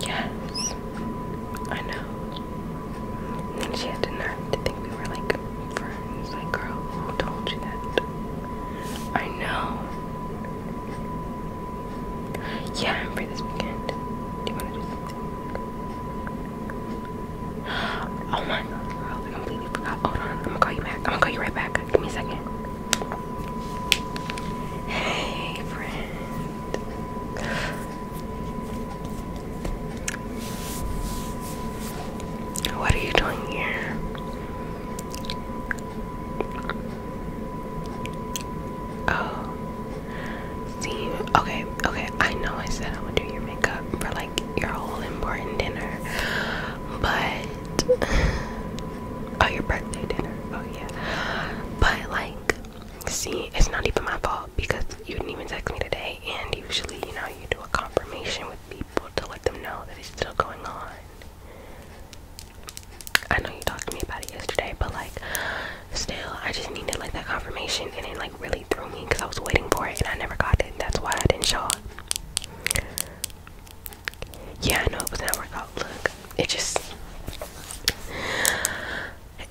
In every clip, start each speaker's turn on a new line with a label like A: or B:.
A: Yes, I know. she had to nerve to think we were like friends. Like, girl, who told you that? I know. Yeah, I'm free this weekend. Do you want to do something? Oh my god, girl, I completely forgot. Hold on, I'm gonna call you back. I'm gonna call you right back. Give me a second. Hey, friend. What are you doing here? Oh, see, okay, okay. I know I said I would do your makeup for like your whole important dinner, but oh, your birthday dinner. Oh, yeah, but like see, it's not even my fault because you didn't even text me today. And usually, you know, you do a confirmation with people to let them know that it's still going on. I know you talked to me about it yesterday, but like, still, I just needed like that confirmation, and it like really threw me because I was waiting for it and I never got it. That's why I didn't show up. Yeah, I know it was an hour out. Look, it just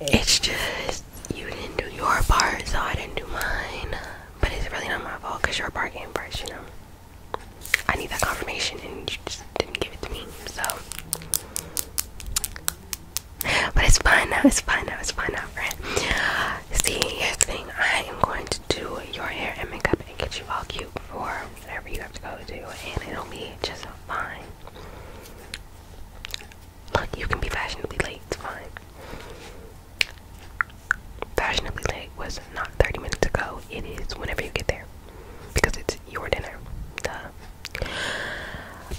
A: it's just you didn't do your part so I didn't do mine. But it's really not my fault because your part came first, you know. I need that confirmation and you just didn't give it to me, so but it's fine now, it's fine now, it's fine now, friend. See, here's the thing, I am going to do your hair and makeup and get you all cute for whatever you have to go to, and it'll be just fine. Look, you can be fashionably late, it's fine. Fashionably late was not 30 minutes ago, it is whenever you get there. Because it's your dinner. Duh.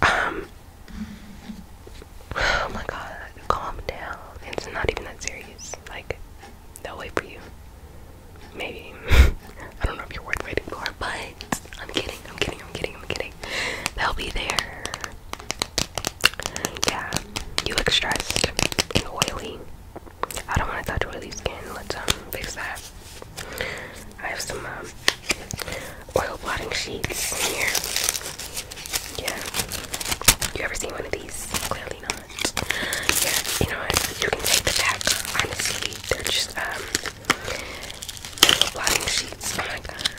A: Um Oh my god, calm down. It's not even that serious. Like, they'll wait for you. Maybe. I don't know if you're worth waiting for, but I'm kidding, I'm kidding, I'm kidding, I'm kidding. They'll be there. Yeah, you look stressed You're oily. I don't want to touch oily skin. Let's um fix that. I have some um, oil blotting sheets here. Yeah. You ever seen one of these? Clearly not. Yeah, you know You can take the pack. Honestly, they're just um blotting sheets. Oh my god.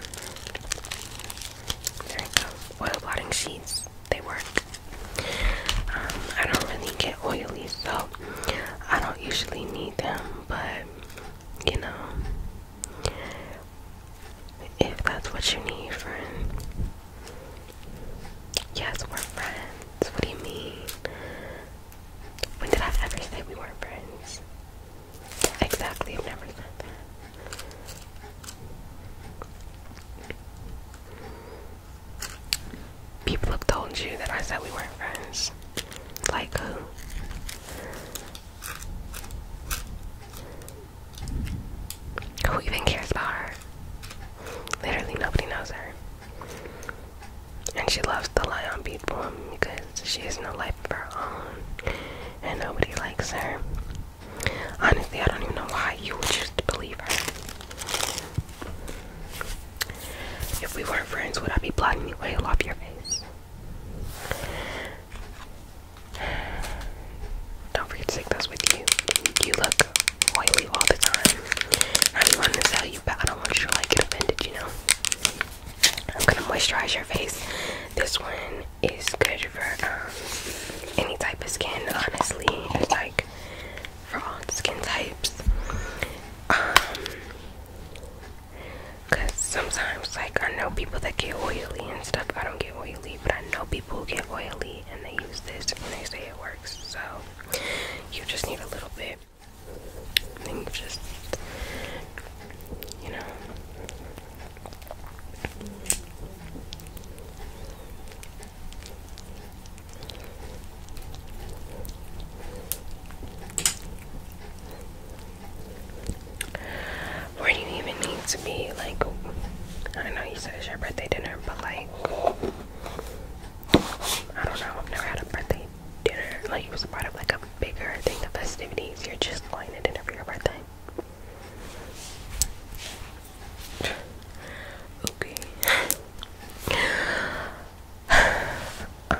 A: There we go. Oil blotting sheets. They work. Um, I don't really get oily, so I don't usually need them, but you know, if that's what you need, friend. Yes, we're friends. What do you mean? When did I ever say we weren't friends? Exactly, I've never said that. People have told you that I said we weren't friends. Like who? Who even cares about her? Literally, nobody knows her. And she loves to lie on people because she has no life of her own and nobody likes her. Honestly, I don't even know why you would just believe her. If we weren't friends, would I be blotting you oil off your face? Don't forget to take those with you. You look oily all the time. I don't want to tell you, but I don't want you to like get offended, you know. I'm gonna moisturize your face. This one is good for um, any type of skin, honestly. like for all skin types. Um, Cause sometimes, like I know people that get oily and stuff. I don't get oily, but I know people who get oily and they use this and they say it works. So you just need a little bit. I think just, you know, where do you even need to be? Like, I know you said it's your birthday dinner, but like, I don't know. I've never had a birthday dinner, like you was a part of like a bigger thing the festivities. You're just going to dinner for your birthday. okay.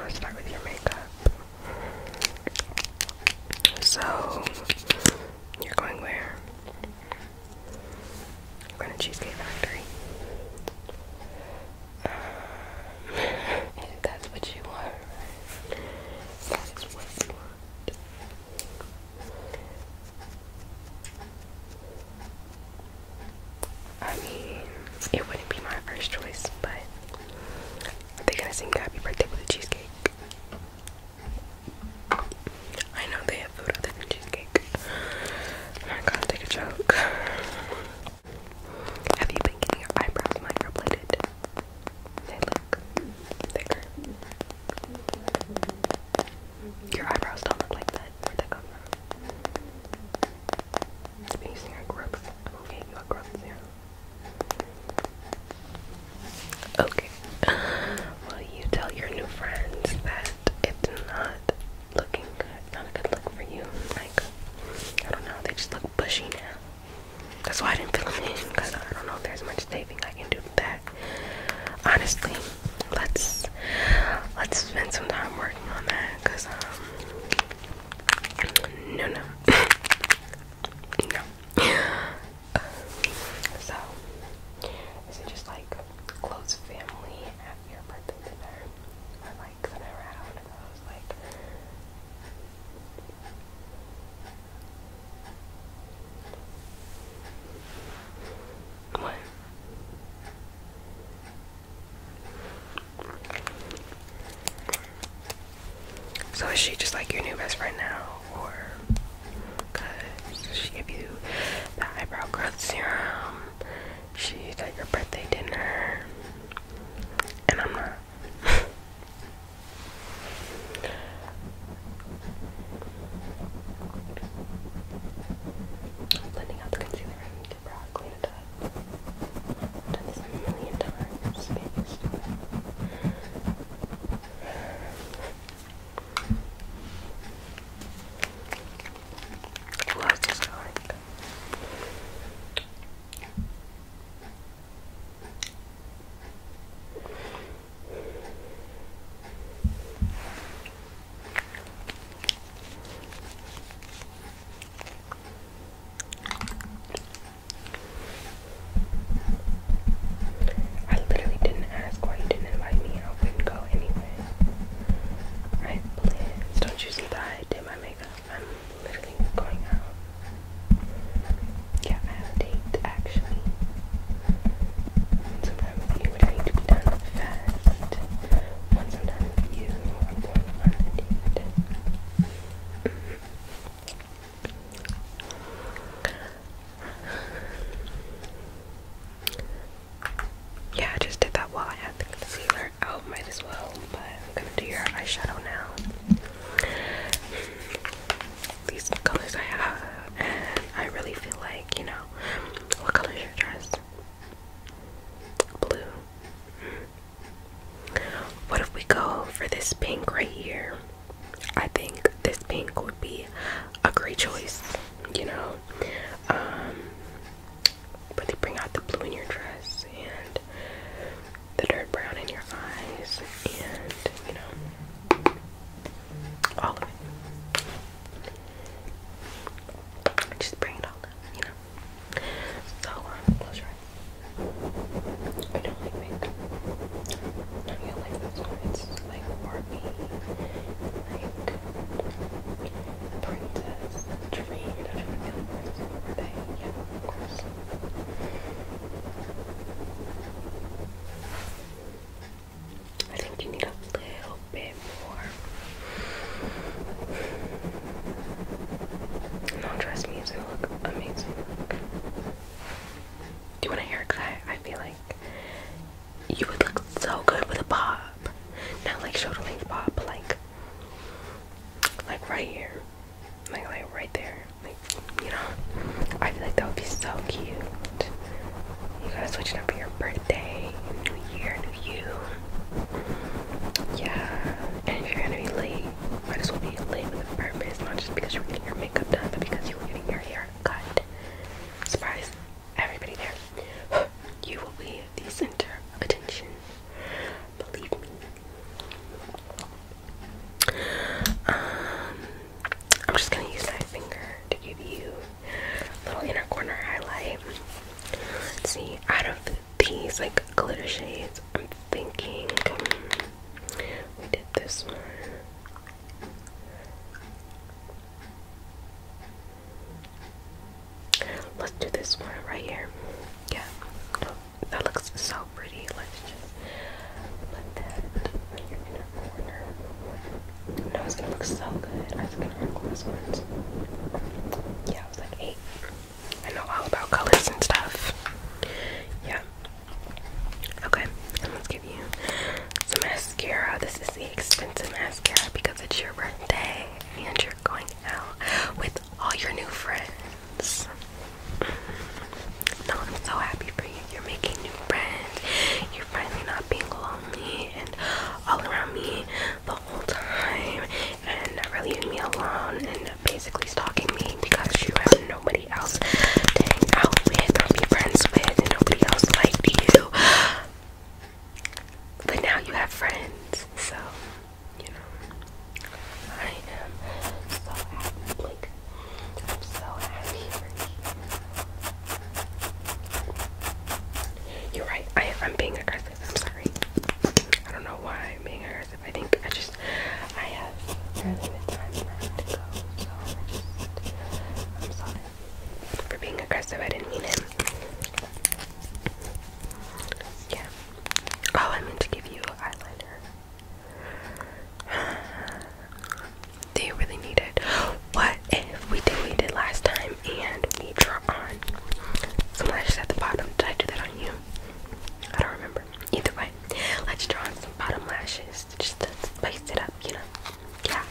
A: start with your makeup. So you're going where? You're going to Cheesecake Factory that's what you want, that is what you want. I mean, it wouldn't be my first choice, but they gonna sing Happy Birthday with cheesecake. I know they have food other than cheesecake. I'm to take a joke. Have you been getting your eyebrows microbladed? They look thicker. Your eyebrows don't look like that. Where'd that come from? I've using your growth. I'm going you a growth serum. Okay. Will you tell your new friends that it's not looking good. Not a good look for you. Like, I don't know. They just look bushy now. That's why I didn't fill them because I don't know if there's much saving I can do with that. Honestly, let's let's spend some time working on that because um no no no. Uh, so is it just like close family at your birthday dinner? What? So is she just like your new best friend now, or cause she gave you the eyebrow growth serum she got your birthday dinner, and I'm not. Blending out the concealer get brow, clean it up. i this a million times. I literally didn't ask why you didn't invite me. I wouldn't go anyway. I Don't you see that I did my makeup? um, looking going out. Yeah, I have a date actually. Sometimes you would hate to be done fast. Once I'm done with you, I'm going on a date. yeah, I just did that while I had the concealer I oh, might as well. But I'm gonna do your eyeshadow now. These are colors I have, and I really feel like you know. What color is your dress? Blue. What if we go for this pink right here? I think this pink would be a great choice, you know. Um, really bring out the blue in your dress and the dirt brown in your eyes and you know all of it. Just bring it all up, you know. So um, close your eyes. I don't like makeup. don't like this It's like Barbie, like princess. I think you need a little bit more. No, trust me, it's gonna look amazing. Do you want to a Cause I feel like you would look so good with a bob. Not like shoulder length bob, like like right here, like right there, like you know. I feel like that would be so cute. You gotta switch it up for your birthday, New Year, New You. Yeah, and if you're gonna be late, might as well be late with birthday purpose, not just because you are getting your makeup done, but because you are getting your hair cut. Surprise, everybody there. You will be the center of attention. Believe me. Um, I'm just gonna use my finger to give you a little inner corner highlight. Let's see, out of these like glitter shades, I'm thinking we did this one. Let's do this one right here. Yeah, that looks so pretty. Let's just put that here in the corner. No, gonna look so good. I forgot to record this ones. Yeah, it was like eight. I know all about colors and stuff. Yeah. Okay, and let's give you some mascara. This is the expensive mascara because it's your birthday and you're going out with all your new friends. No, I'm so happy for you. You're making new friends. You're finally not being lonely and all around me the whole time and never leaving me alone and basically stalking me because you have nobody else to hang out with or be friends with and nobody else liked you. But now you have friends, so you are right. I, I'm being aggressive. I'm sorry. I don't know why I'm being aggressive. I think I just, I have really time So I I'm sorry for being aggressive. I didn't mean it. Yeah. Oh, I meant to give you eyeliner. Do you really need it? What if we did what we did last time and we draw on some lashes at the bottom? Did I do that on you? I don't remember. Either way, let's draw on some bottom lashes just to spice it up, you know? Yeah.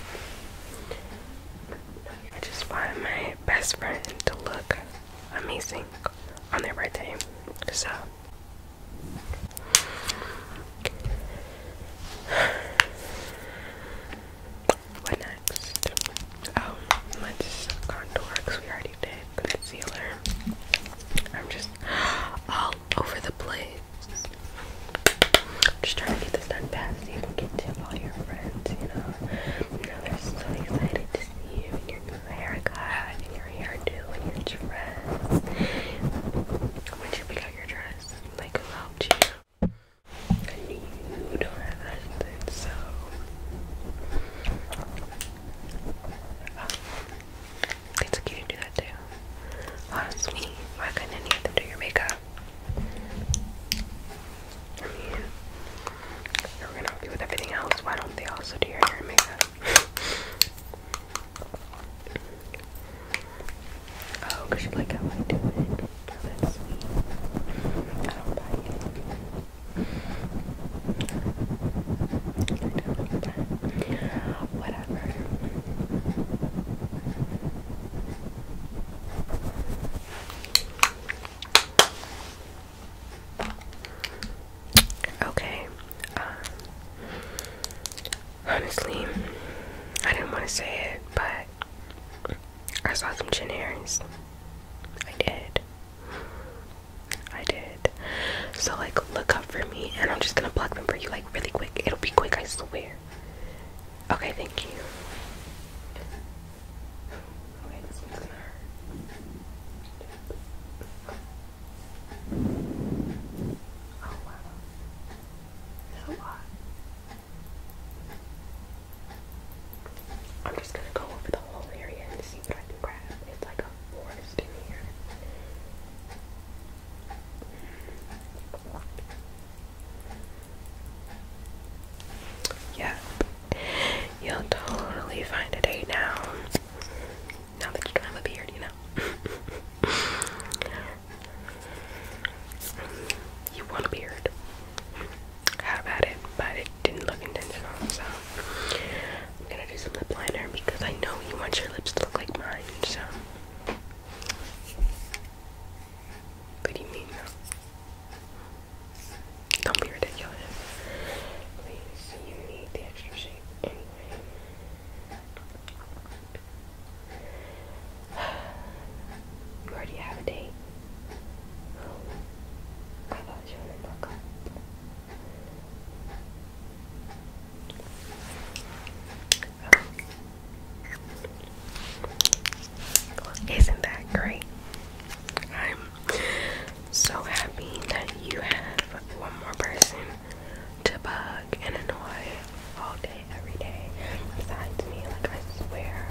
A: I just want my best friend to look amazing on their birthday. So what next? Oh, let's contour we already did concealer. I'm just all over the place. Just trying to get this done fast so you can get to all your friends, you know. they're so excited you and your new haircut and your hairdo and your dress. Would you pick out your dress? Like who And you don't have anything, so it's okay to do that too. Honestly, why couldn't any of them do your makeup? I mean, you're gonna do with everything else. Why don't they also do your hair and makeup? oh, cause you like how I do it. That's sweet. I don't buy Whatever. Okay. Um, honestly, I didn't want to say it, but I saw some chin hairs. I did. I did. So, like, look up for me, and I'm just gonna block them for you, like, really quick. It'll be quick, I swear. Okay, thank you. Okay, this one's gonna hurt. Oh wow. That's a I'm just gonna go over the whole area and see what I can grab. It's like a forest in here. Yeah, You'll totally find a date now. Now that you don't have a beard, you know. you want a beard. How about it? But it didn't look intentional, so I'm gonna do some lip liner because I know you want your lips to look like mine, so. What do you mean, don't be ridiculous. you need the extra shape You already have a date. Isn't that great? I'm so happy that you have one more person to bug and annoy all day, every day. Besides me, like I swear,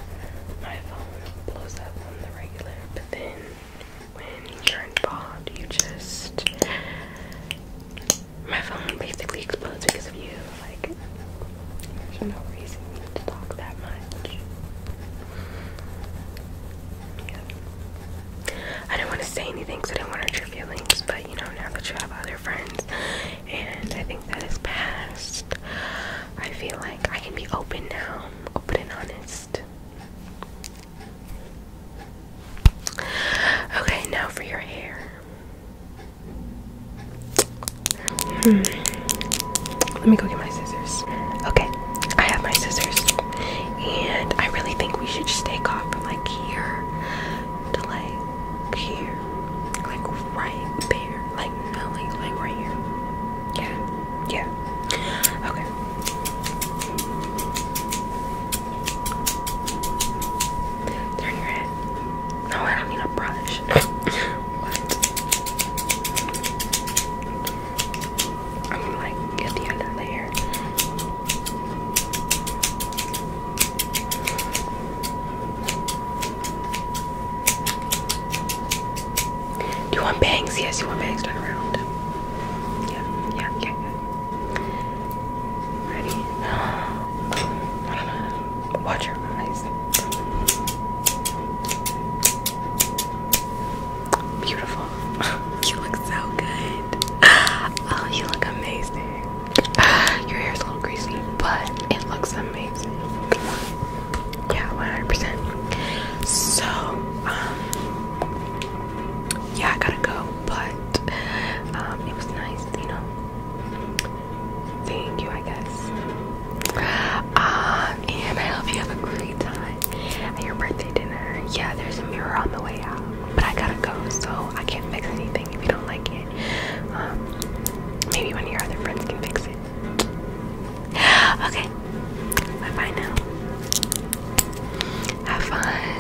A: my phone blows up on the regular, but then when you're involved, you just. My phone basically explodes because of you. Like, there's no reason to talk that much. I didn't want to say anything because I didn't want to hurt your feelings, but you know, now that you have other friends, and I think that is past, I feel like I can be open now, open and honest. Okay, now for your hair. Hmm. Let me go get my scissors. Okay, I have my scissors. And I really think we should just take off from like here to like here. Like right there. Like no, like right here. Yeah. Yeah. Okay. Turn your head. No, I don't need a brush. what? I'm like at the end of Do you want bangs? Yes, you want bangs. Turn around. Yeah, yeah, yeah, Ready? Watch your eyes beautiful. you look so good. Oh, you look amazing. Your hair is a little greasy, but it looks amazing. Yeah, 100 So, um, yeah, I gotta go, but um, it was nice, you know. Thank you, I guess. Um, and I hope you have a great time your birthday dinner. Yeah, there's a mirror on the way out, but I gotta go, so I can't fix anything if you don't like it. Um, maybe one of your other friends can fix it. Okay, bye bye now. Have fun.